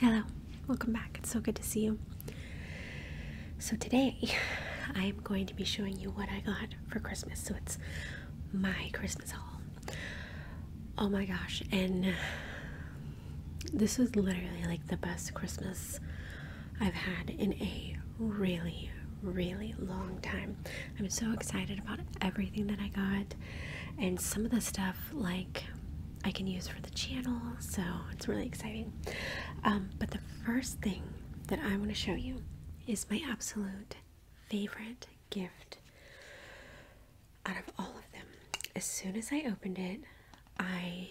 Hello, welcome back. It's so good to see you. So, today I am going to be showing you what I got for Christmas. So, it's my Christmas haul. Oh my gosh, and this was literally like the best Christmas I've had in a really, really long time. I'm so excited about everything that I got, and some of the stuff like I can use for the channel, so it's really exciting. Um, but the first thing that I want to show you is my absolute favorite gift out of all of them. As soon as I opened it, I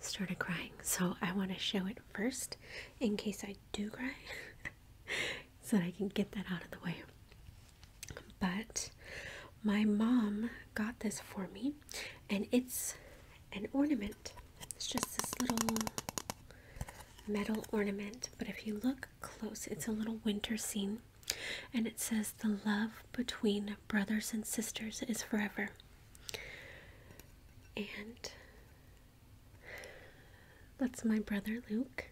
started crying, so I want to show it first in case I do cry. so that I can get that out of the way. But my mom got this for me, and it's an ornament. It's just this little metal ornament, but if you look close, it's a little winter scene. And it says, The love between brothers and sisters is forever. And that's my brother Luke,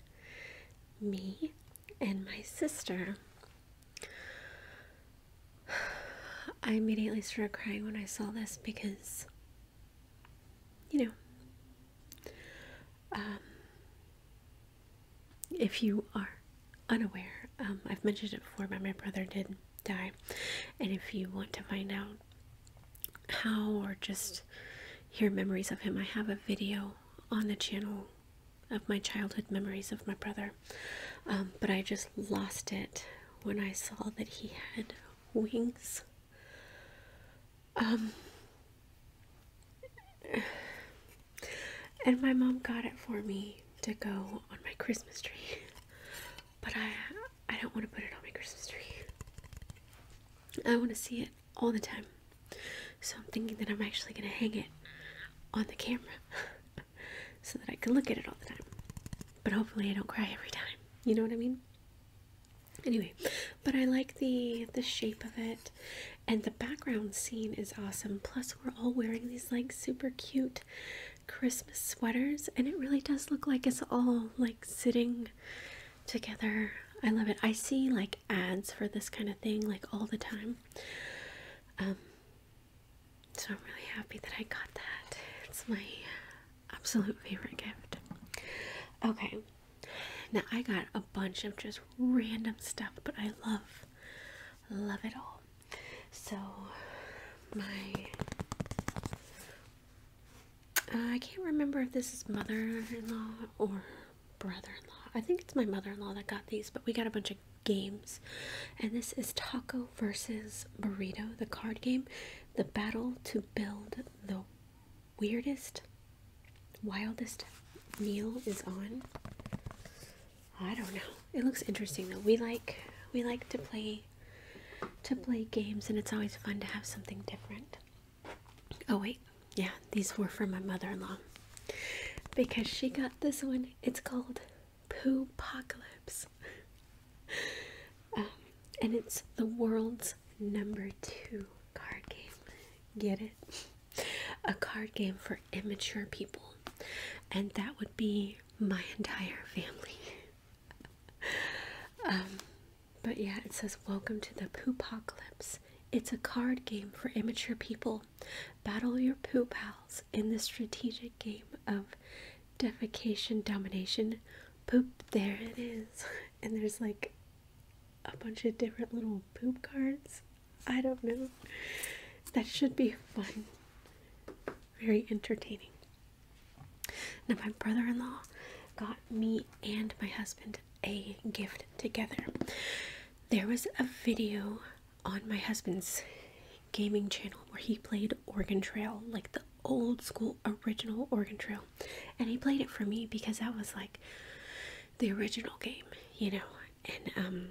me, and my sister. I immediately started crying when I saw this because, you know, um, if you are unaware, um, I've mentioned it before, but my brother did die. And if you want to find out how or just hear memories of him. I have a video on the channel of my childhood memories of my brother, um, but I just lost it when I saw that he had wings. Um, and my mom got it for me to go on my Christmas tree, but I I don't want to put it on my Christmas tree. I want to see it all the time. So I'm thinking that I'm actually going to hang it on the camera so that I can look at it all the time. But hopefully I don't cry every time. You know what I mean? Anyway, but I like the the shape of it and the background scene is awesome. Plus we're all wearing these like super cute Christmas sweaters and it really does look like it's all like sitting together. I love it. I see like ads for this kind of thing like all the time. Um, so I'm really happy that I got that. It's my absolute favorite gift. Okay, now I got a bunch of just random stuff, but I love, love it all. So my uh, I can't remember if this is mother-in-law or brother-in-law. I think it's my mother-in-law that got these, but we got a bunch of games. And this is Taco versus Burrito, the card game. The battle to build the weirdest, wildest meal is on. I don't know. It looks interesting though. We like we like to play to play games and it's always fun to have something different. Oh, wait. Yeah, these were for my mother in law because she got this one. It's called Poo Apocalypse. Um, and it's the world's number two card game. Get it? A card game for immature people. And that would be my entire family. Um, but yeah, it says Welcome to the Poopocalypse. It's a card game for immature people. Battle your poop pals in the strategic game of defecation domination. Poop, there it is. And there's like a bunch of different little poop cards. I don't know. That should be fun. Very entertaining. Now, my brother in law got me and my husband a gift together. There was a video on my husband's gaming channel where he played Organ Trail, like the old school original Organ Trail. And he played it for me because that was like the original game, you know. And um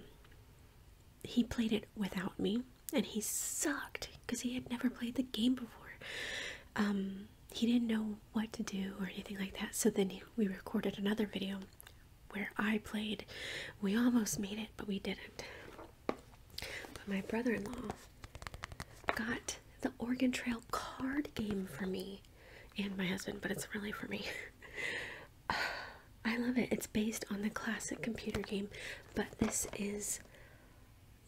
he played it without me and he sucked because he had never played the game before. Um he didn't know what to do or anything like that. So then we recorded another video where I played. We almost made it, but we didn't. But my brother in law got the Oregon Trail card game for me and my husband, but it's really for me. I love it. It's based on the classic computer game, but this is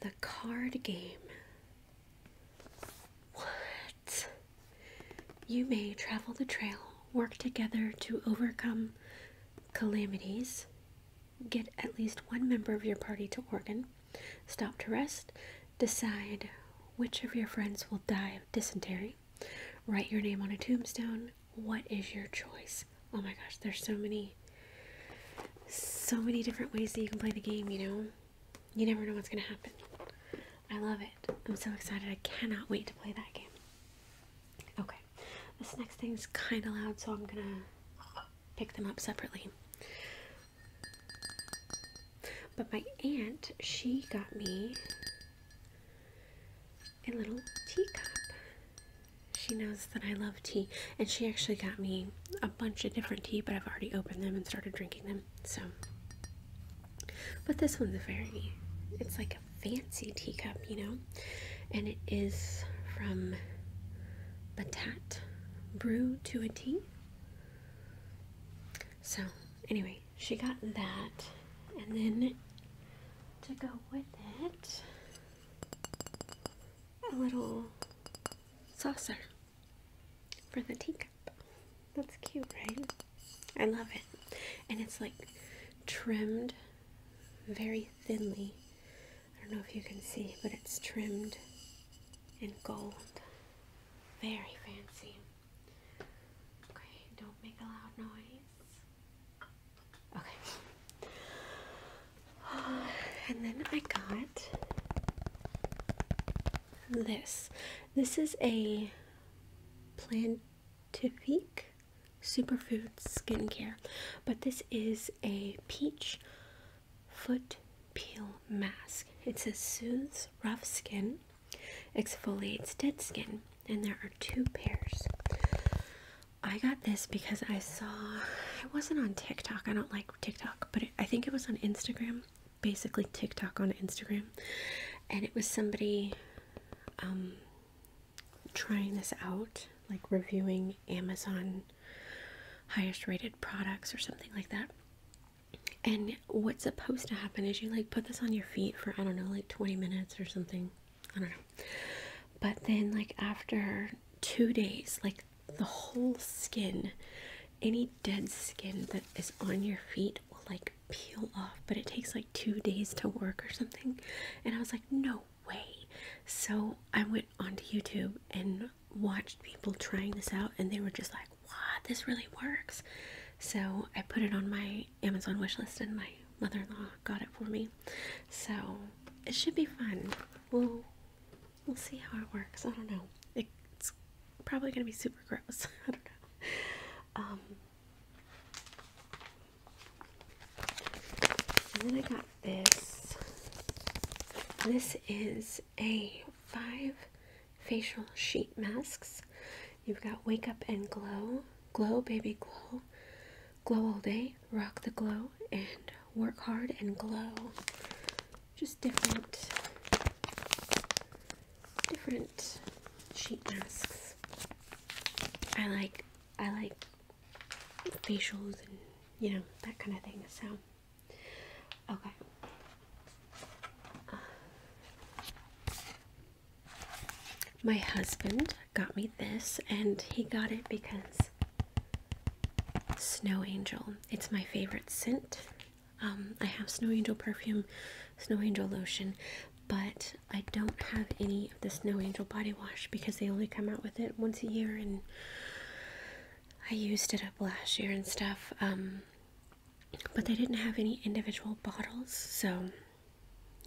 the card game what? You may travel the trail, work together to overcome calamities, get at least one member of your party to Oregon, stop to rest, decide which of your friends will die of dysentery, write your name on a tombstone. What is your choice? Oh my gosh, there's so many so many different ways that you can play the game, you know? you never know what's going to happen. I love it. I'm so excited. I cannot wait to play that game. Okay, this next thing is kind of loud, so I'm going to pick them up separately. But my aunt, she got me a little teacup. She knows that I love tea, and she actually got me a bunch of different tea, but I've already opened them and started drinking them. So, but this one's a very, it's like a fancy teacup, you know, and it is from Batat Brew to a Tea. So, anyway, she got that, and then to go with it, a little saucer for the teacup. That's cute, right? I love it. And it's like trimmed very thinly. I don't know if you can see, but it's trimmed in gold. Very fancy. Okay, don't make a loud noise. Okay. And then I got this. This is a Plantifique Superfood Skincare, but this is a peach foot peel mask. It says soothes rough skin, exfoliates dead skin, and there are two pairs. I got this because I saw it wasn't on TikTok. I don't like TikTok, but I think it was on Instagram, basically TikTok on Instagram, and it was somebody um, trying this out, like reviewing Amazon highest rated products or something like that. And what's supposed to happen is you like put this on your feet for I don't know like 20 minutes or something. I don't know. But then like after 2 days, like the whole skin any dead skin that is on your feet will like peel off but it takes like two days to work or something and i was like no way so i went onto youtube and watched people trying this out and they were just like wow this really works so i put it on my amazon wish list and my mother-in-law got it for me so it should be fun we we'll see how it works. I don't know. it's probably gonna be super gross. I don't know. Um, and then I got this. This is a five facial sheet masks. You've got Wake Up and Glow, Glow Baby Glow, Glow All Day, Rock the Glow, and Work Hard and Glow. Just different, different sheet masks. I like, I like facials and you know that kind of thing. So, okay. My husband got me this, and he got it because Snow Angel. It's my favorite scent. Um, I have Snow Angel perfume, Snow Angel lotion, but I don't have any of the Snow Angel body wash because they only come out with it once a year and I used it up last year and stuff. Um, but they didn't have any individual bottles, so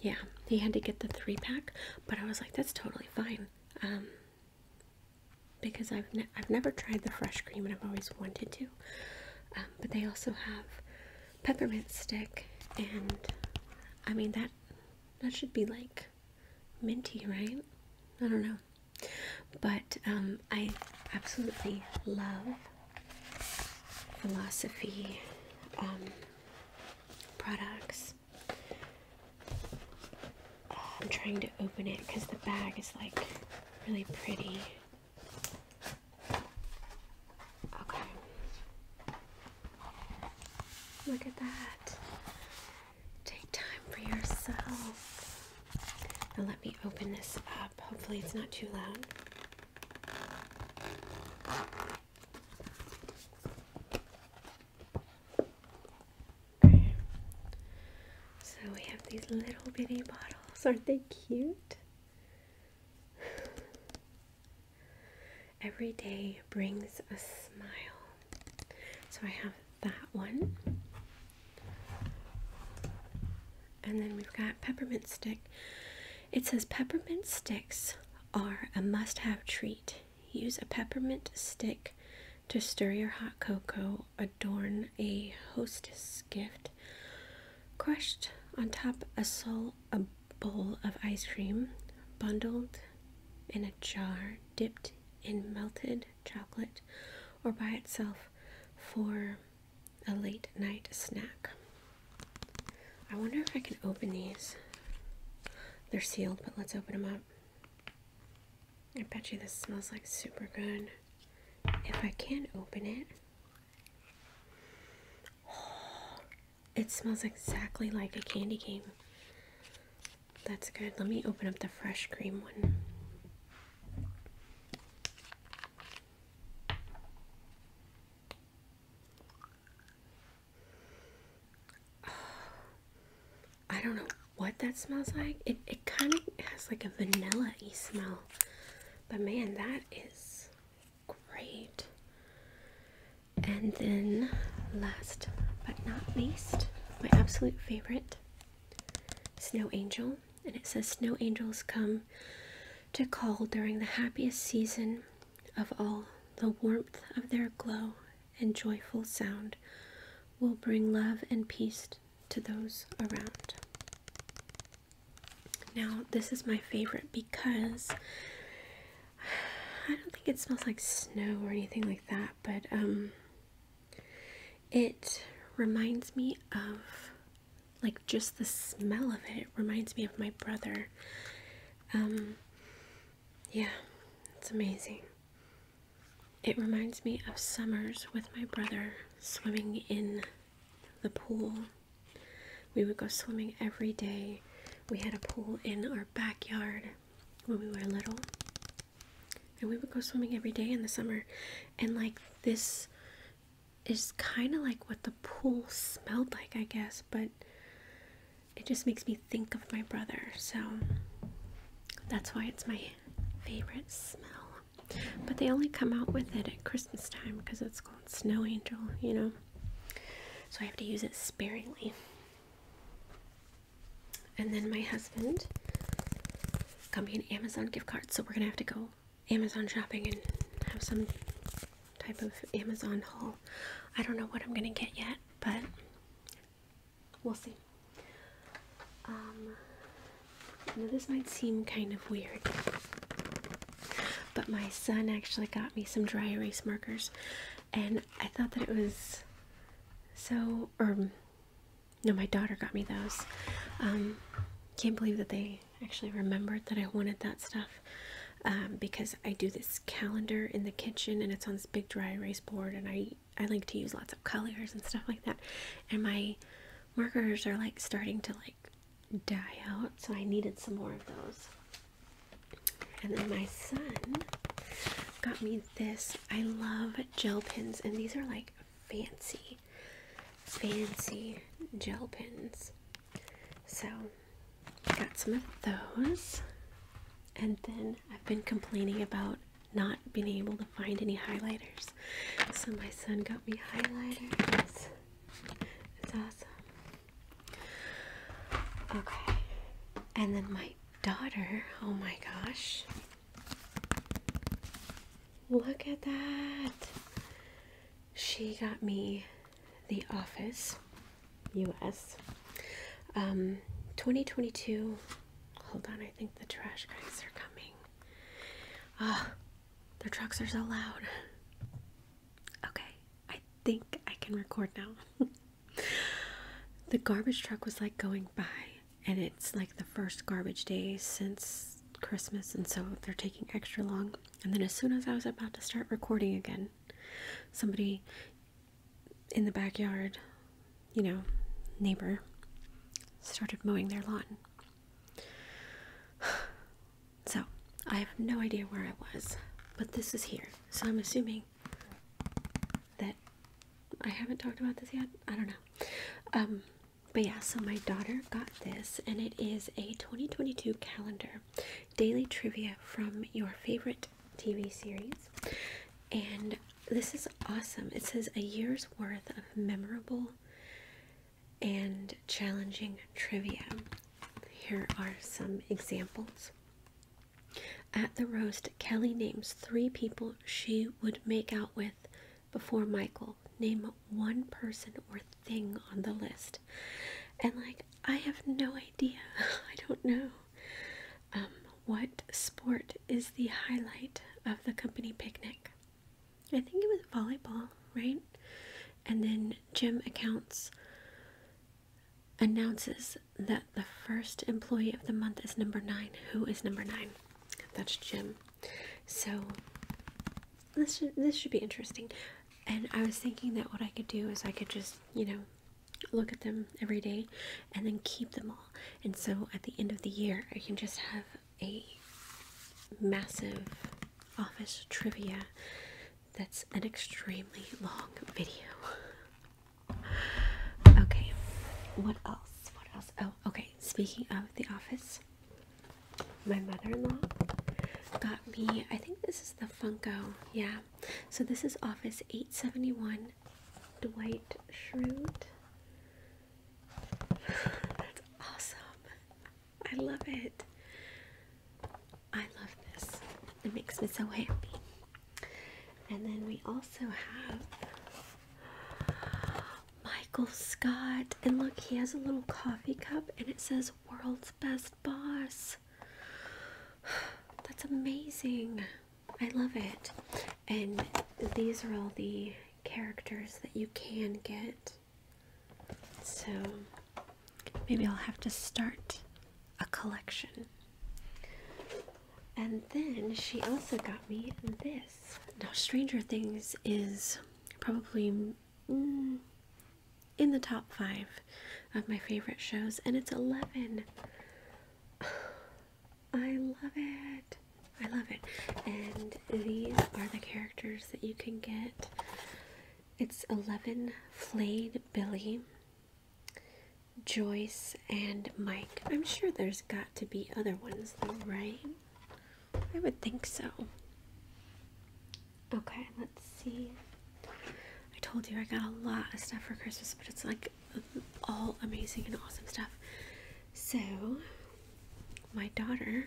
yeah, he had to get the three pack, but I was like, that's totally fine. Um, because I've, I've never tried the fresh cream and I've always wanted to. Um, but they also have peppermint stick, and I mean, that, that should be like minty, right? I don't know. But um, I absolutely love philosophy um, products I'm trying to open it because the bag is like really pretty. Okay. Look at that. Take time for yourself. Now let me open this up. Hopefully, it's not too loud. So we have these little bitty bottles. Aren't they cute? Every day brings a smile. So I have that one. And then we've got peppermint stick. It says peppermint sticks are a must have treat Use a peppermint stick to stir your hot cocoa. Adorn a hostess gift. Crushed on top of a bowl of ice cream, bundled in a jar, dipped in melted chocolate, or by itself for a late night snack. I wonder if I can open these. They're sealed, but let's open them up. I bet you this smells like super good. If I can not open it, it smells exactly like a candy cane. That's good. Let me open up the fresh cream one. I don't know what that smells like. It, it kind of has like a vanilla y smell. But man, that is great. And then, last but not least, my absolute favorite Snow Angel. And it says Snow Angels come to call during the happiest season of all. The warmth of their glow and joyful sound will bring love and peace to those around. Now, this is my favorite because I don't think it smells like snow or anything like that, but um, it reminds me of like just the smell of it, it reminds me of my brother. Um, yeah, it's amazing. It reminds me of summers with my brother swimming in the pool. We would go swimming every day. We had a pool in our backyard when we were little. And we would go swimming every day in the summer. And like this is kind of like what the pool smelled like, I guess, but it just makes me think of my brother. So that's why it's my favorite smell. But they only come out with it at Christmas time because it's called Snow Angel, you know. So I have to use it sparingly. And then my husband got me an Amazon gift card, so we're gonna have to go Amazon shopping and have some type of Amazon haul. I don't know what I'm gonna get yet, but We'll see. Um, now this might seem kind of weird, but my son actually got me some dry erase markers, and I thought that it was so. Or no, my daughter got me those. Um, can't believe that they actually remembered that I wanted that stuff um, because I do this calendar in the kitchen and it's on this big dry erase board and I I like to use lots of colors and stuff like that and my markers are like starting to like die out so I needed some more of those and then my son got me this I love gel pens and these are like fancy fancy gel pens so Got some of those. And then I've been complaining about not being able to find any highlighters. So my son got me highlighters. It's awesome. Okay. And then my daughter, oh my gosh. Look at that. She got me The Office US. Um, 2022. Hold on, I think the trash guys are coming. Ah, their trucks are so loud. Okay, I think I can record now. the garbage truck was like going by, and it's like the first garbage day since Christmas, and so they're taking extra long. And then, as soon as I was about to start recording again, somebody in the backyard, you know, neighbor started mowing their lawn. So, I have no idea where I was, but this is here. So, I'm assuming that I haven't talked about this yet. I don't know. Um, but yeah, so my daughter got this, and it is a 2022 calendar daily trivia from your favorite TV series. And this is awesome. It says a year's worth of memorable and challenging trivia. Here are some examples. At the roast, Kelly names three people she would make out with before Michael. Name one person or thing on the list. And, like, I have no idea. I don't know. Um, what sport is the highlight of the company picnic? I think it was volleyball, right? And then Jim accounts announces that the first employee of the month is number nine. Who is number nine? That's Jim. So this this should be interesting. And I was thinking that what I could do is I could just, you know, look at them every day and then keep them all. And so at the end of the year, I can just have a massive office trivia that's an extremely long video. okay, what else? What else? Oh, okay. Speaking of the office, my mother in law got me, I think this is the Funko, yeah, so this is Office 871 Dwight Schrute. That's awesome. I love it. I love this. It makes me so happy. And then we also have Michael Scott. And look, he has a little coffee cup and it says World's Best Boss. That's amazing. I love it. And these are all the characters that you can get. So maybe I'll have to start a collection. And then she also got me this. Now, Stranger Things is probably mm, in the top five of my favorite shows, and it's 11. I love it. I love it. And these are the characters that you can get. It's 11 Flayed Billy, Joyce, and Mike. I'm sure there's got to be other ones though, right? I would think so. Okay, let's see. I told you I got a lot of stuff for Christmas, but it's like all amazing and awesome stuff. So, my daughter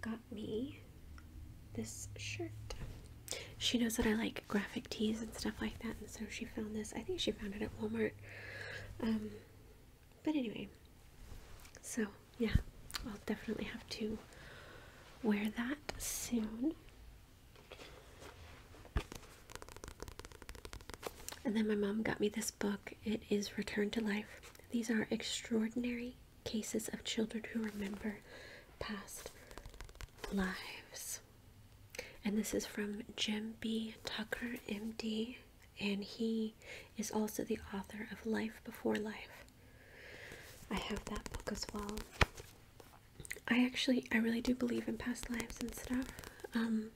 got me this shirt. She knows that I like graphic tees and stuff like that, and so she found this. I think she found it at Walmart. Um, but anyway, so yeah, I'll definitely have to wear that soon. And then my mom got me this book. It is Return to Life. These are extraordinary cases of children who remember past lives. And this is from Jim B. Tucker, MD, and he is also the author of Life Before Life. I have that book as well. I actually, I really do believe in past lives and stuff. Um,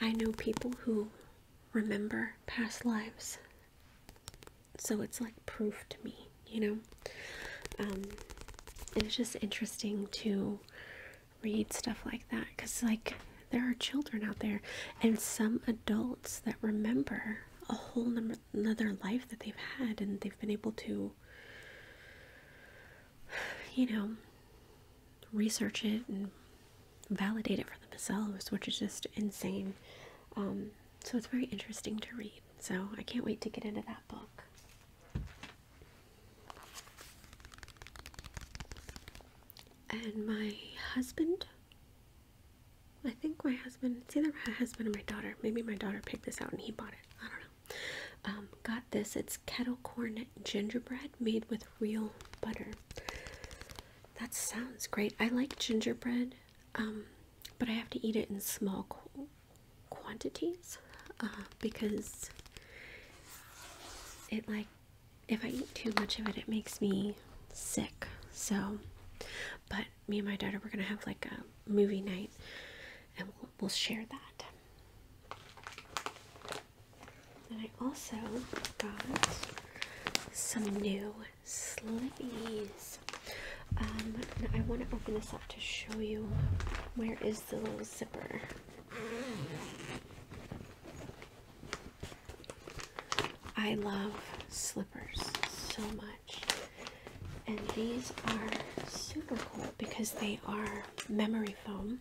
I know people who remember past lives, so it's like proof to me, you know. Um, it's just interesting to read stuff like that because, like, there are children out there and some adults that remember a whole number another life that they've had and they've been able to you know research it and validate it for themselves which is just insane um, so it's very interesting to read so i can't wait to get into that book and my husband I think my husband, it's either my husband or my daughter. Maybe my daughter picked this out and he bought it. I don't know. Um, got this. It's kettle corn gingerbread made with real butter. That sounds great. I like gingerbread, um, but I have to eat it in small quantities uh, because it like if I eat too much of it, it makes me sick. So, but me and my daughter we're gonna have like a movie night and we'll, share that and I also got some new slippers. Um, I want to open this up to show you where is the little zipper. I love sl so much. And these are super cool because they are memory foam.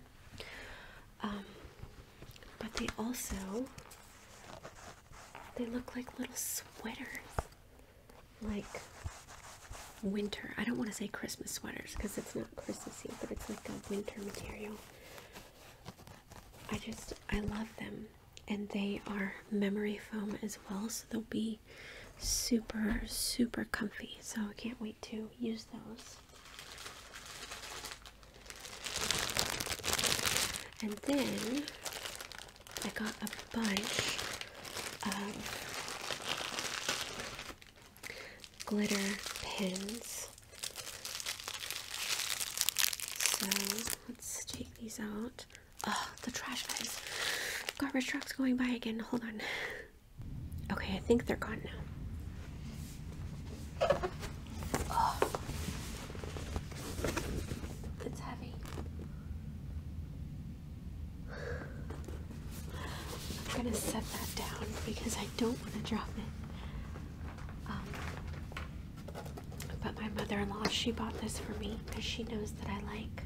Um, but they also they look like little sweaters. Like winter. I don't want to say Christmas sweaters because it's not Christmassy, but it's like a winter material. I just I love them and they are memory foam as well, so they'll be super, super comfy. So I can't wait to use those. And then I got a bunch of glitter pins. So let's take these out. Oh, the trash guys. Garbage trucks going by again. Hold on. Okay, I think they're gone now. It's heavy. I'm gonna set that down because I don't want to drop it. Um, but my mother-in-law, she bought this for me because she knows that I like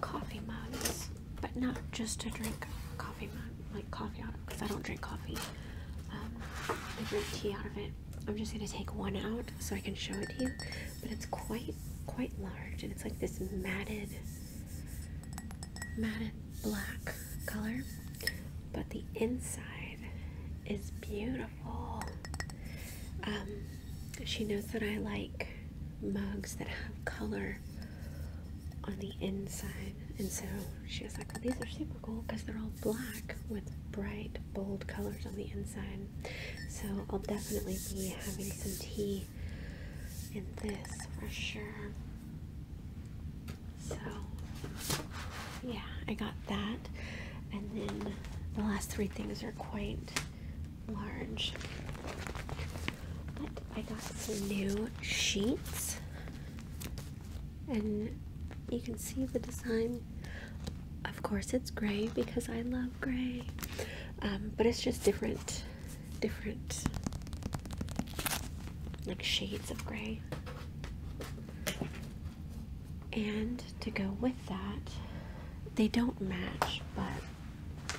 coffee mugs, but not just to drink coffee mug, like coffee out of because I don't drink coffee. Um, I drink tea out of it. I'm just gonna take one out so I can show it to you. But it's quite quite large and it's like this matted matted black color. But the inside is beautiful. Oh. Um, she knows that I like mugs that have color on the inside, and so she was like, well, oh, These are super cool because they're all black with bright, bold colors on the inside. So I'll definitely be having some tea in this for sure. So, yeah, I got that and then the last three things are quite large. But I got some new sheets, and you can see the design. Of course, it's gray because I love gray, um, but it's just different, different like shades of gray. And to go with that. They don't match, but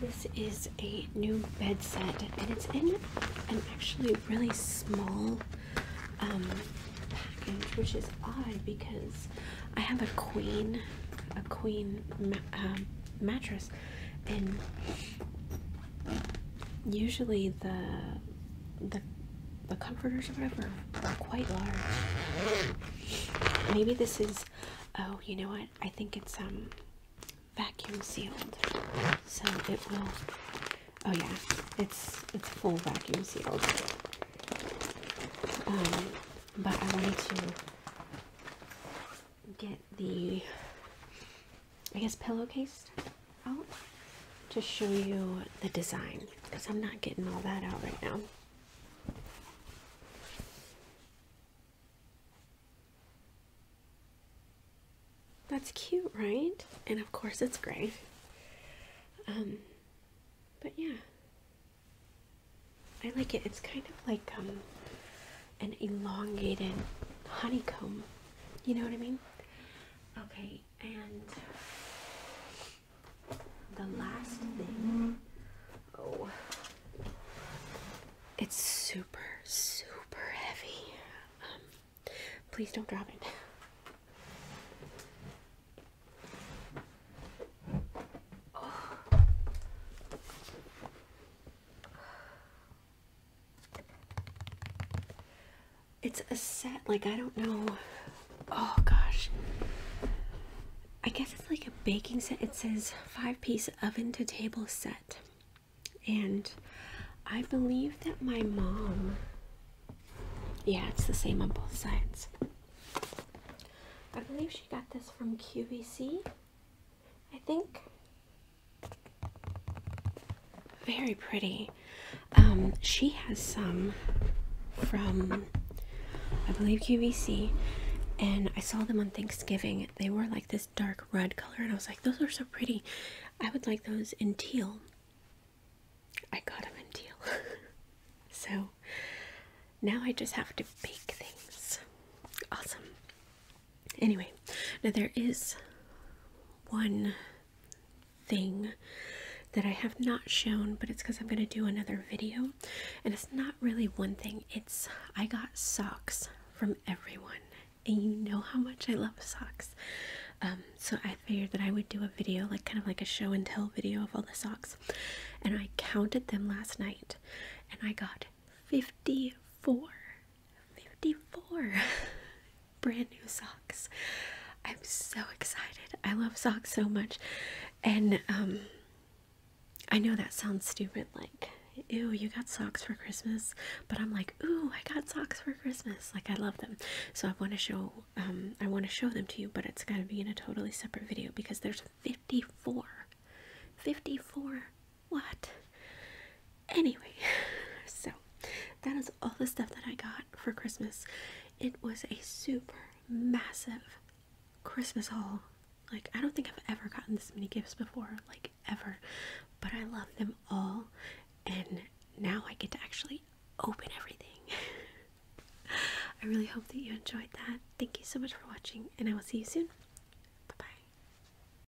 this is a new bed set, and it's in an actually really small um, package, which is odd because I have a queen, a queen um, mattress, and usually the the the comforters or whatever are quite large. Maybe this is oh, you know what? I think it's um vacuum sealed. So it will oh yeah, it's it's full vacuum sealed. Um but I wanted to get the I guess pillowcase out to show you the design because I'm not getting all that out right now. That's cute, right? And of course it's gray. Um, but yeah. I like it. It's kind of like um, an elongated honeycomb. You know what I mean? Okay, and the last thing. Oh. It's super, super heavy. Um, please don't drop it. Oh. It's a set, like, I don't know. Oh gosh. I guess it's like a baking set. It says five piece oven to table set. And I believe that my mom. Yeah, it's the same on both sides. I believe she got this from QVC. I think. Very pretty. Um, she has some from, I believe, QVC, and I saw them on Thanksgiving. They were like this dark red color, and I was like, those are so pretty. I would like those in teal. I got them in teal. so now I just have to bake things. Awesome. Anyway, now there is one thing that I have not shown, but it's because I'm going to do another video. And it's not really one thing, it's I got socks from everyone. And you know how much I love socks. Um, so I figured that I would do a video, like kind of like a show and tell video of all the socks. And I counted them last night and I got 54. 54 brand new socks. I'm so excited. I love socks so much. And um, I know that sounds stupid like ew, you got socks for Christmas, but I'm like, "Ooh, I got socks for Christmas." Like I love them. So I want to show um, I want to show them to you, but it's got to be in a totally separate video because there's 54 54 what? Anyway, so that is all the stuff that I got for Christmas. It was a super massive Christmas haul. Like, I don't think I've ever gotten this many gifts before, like, ever. But I love them all, and now I get to actually open everything. I really hope that you enjoyed that. Thank you so much for watching, and I will see you soon.